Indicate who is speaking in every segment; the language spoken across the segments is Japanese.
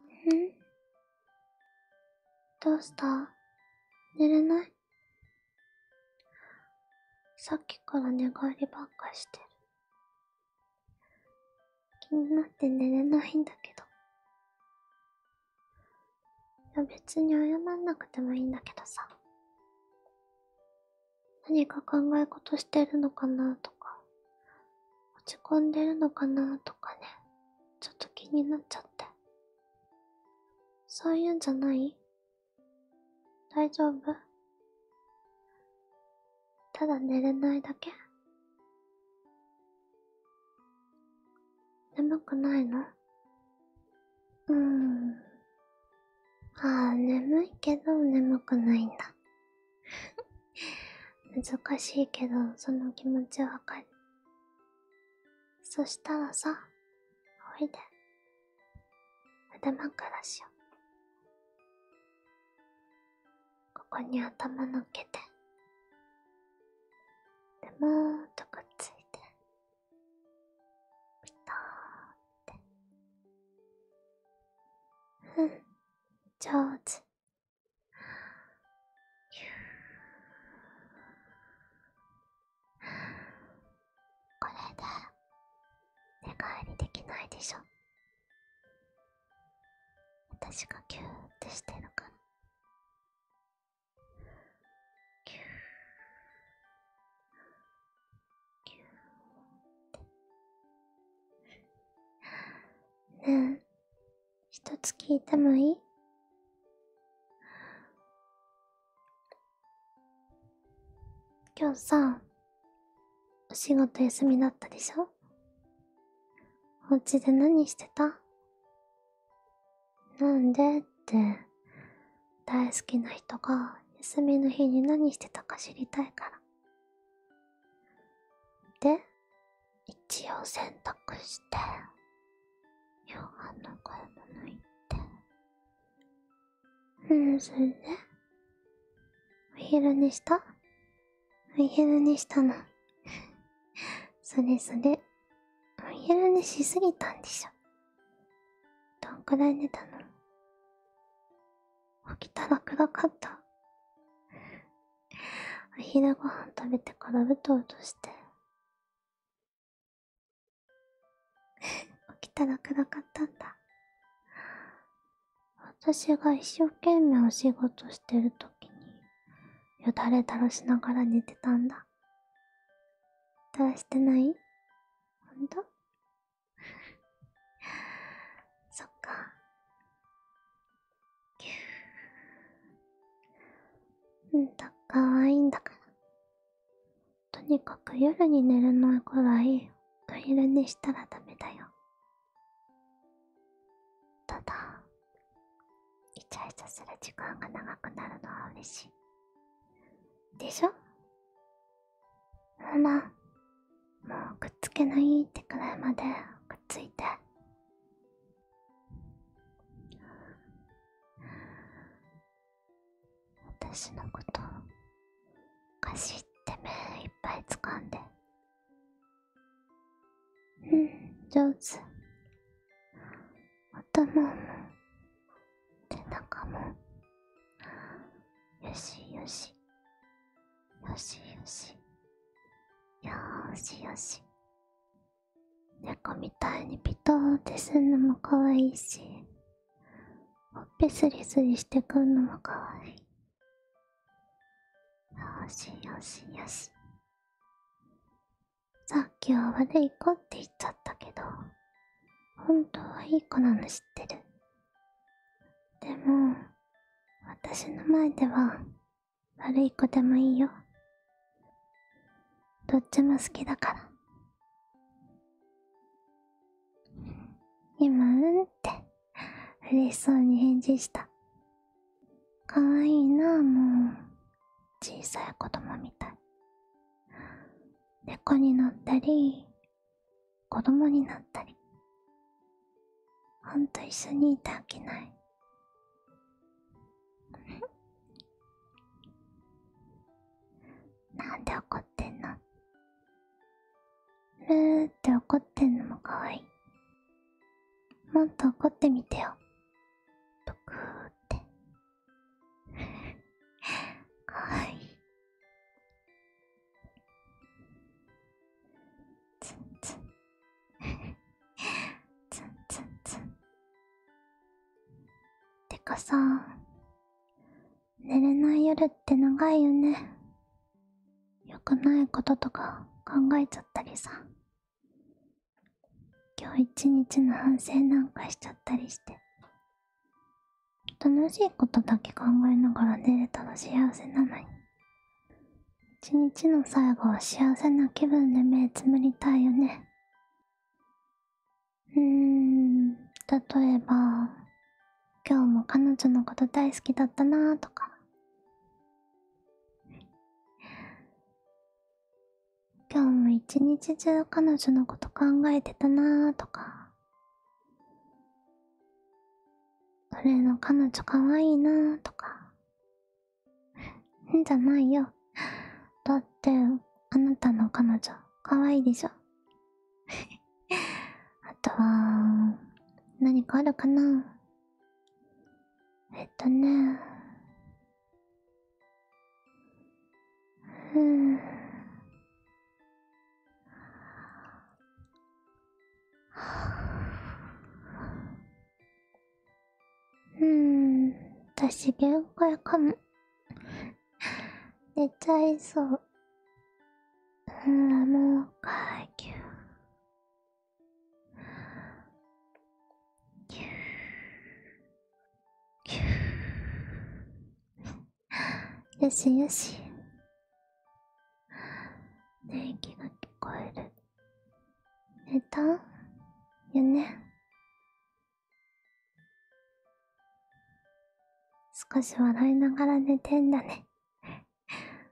Speaker 1: うん、どうした寝れないさっきから寝返りばっかしてる気になって寝れないんだけどいや別に謝んなくてもいいんだけどさ何か考え事してるのかなとか落ち込んでるのかなとかねちょっと気になっちゃってそういうんじゃない大丈夫ただ寝れないだけ眠くないのうんああ、眠いけど眠くないんだ。難しいけど、その気持ちわかる。そしたらさ、おいで。頭からしよう。ここに頭のっけて。でもーっとくっついて。ピターってうん上手これで寝返りできないでしょ私がキューってしてるからキューーて。ねえ、一つ聞いてもいい今日さ、お仕事休みだったでしょおうちで何してたなんでって大好きな人が休みの日に何してたか知りたいからで一応洗濯して夕飯の買い物行ってうんそれで、お昼寝したお昼寝したの それそれお昼寝しすぎたんでしょどんくらい寝たの起きたら暗かったお昼ご飯食べてからうとうとして起きたら暗かったんだ私が一生懸命お仕事してる時によだれ垂らしながら寝てたんだどうしてないほんとそっか。うんと、かわいいんだから。とにかく夜に寝るのくらい、お昼寝したらダメだよ。ただ、イチャイチャする時間が長くなるのは嬉しい。でしょほら、もうくっつけないってくらいまでくっついて。私のことかしって目いっぱい掴んでうん上手頭も背中もよしよしよしよしよーしよし猫みたいにピトーってすんのもかわいいしほっぺスリスリしてくんのもかわいいよしよしよしさっきは悪い子って言っちゃったけど本当はいい子なの知ってるでも私の前では悪い子でもいいよどっちも好きだから今うんって嬉しそうに返事したかわいいなもう小さい子供みたい猫になったり子供になったりほんと一緒にいてあげない なんで怒ってんのルーって怒ってんのもかわいいもっと怒ってみてよとかっては い ツンツンツンツンツンてかさ寝れない夜って長いよねよくないこととか考えちゃったりさ今日一日の反省なんかしちゃったりして楽しいことだけ考えながら寝れたら幸せなのに一日の最後は幸せな気分で目つむりたいよねうーん例えば今日も彼女のこと大好きだったなーとか今日も一日中彼女のこと考えてたなーとか俺の彼女かわいいなーとかん じゃないよだってあなたの彼女かわいいでしょ あとは何かあるかなえっとねうんうん私限界かも寝ちゃいそううんもう階級ー、ー…よしよし電気が聞こえる寝たよね少し笑いながら寝てんだね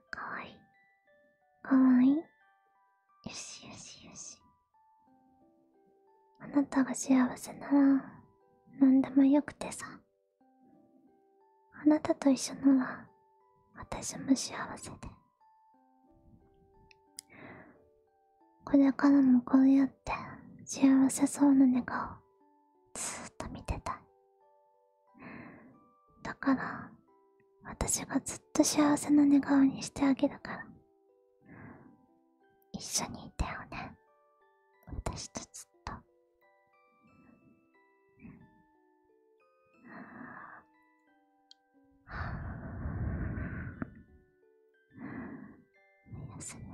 Speaker 1: かわいいかわいいよしよしよしあなたが幸せなら何でもよくてさあなたと一緒なら私も幸せでこれからもこうやって幸せそうな寝顔ずーっと見てたいだから私がずっと幸せな寝顔にしてあげるから一緒にいてよね私とずっと おやすみ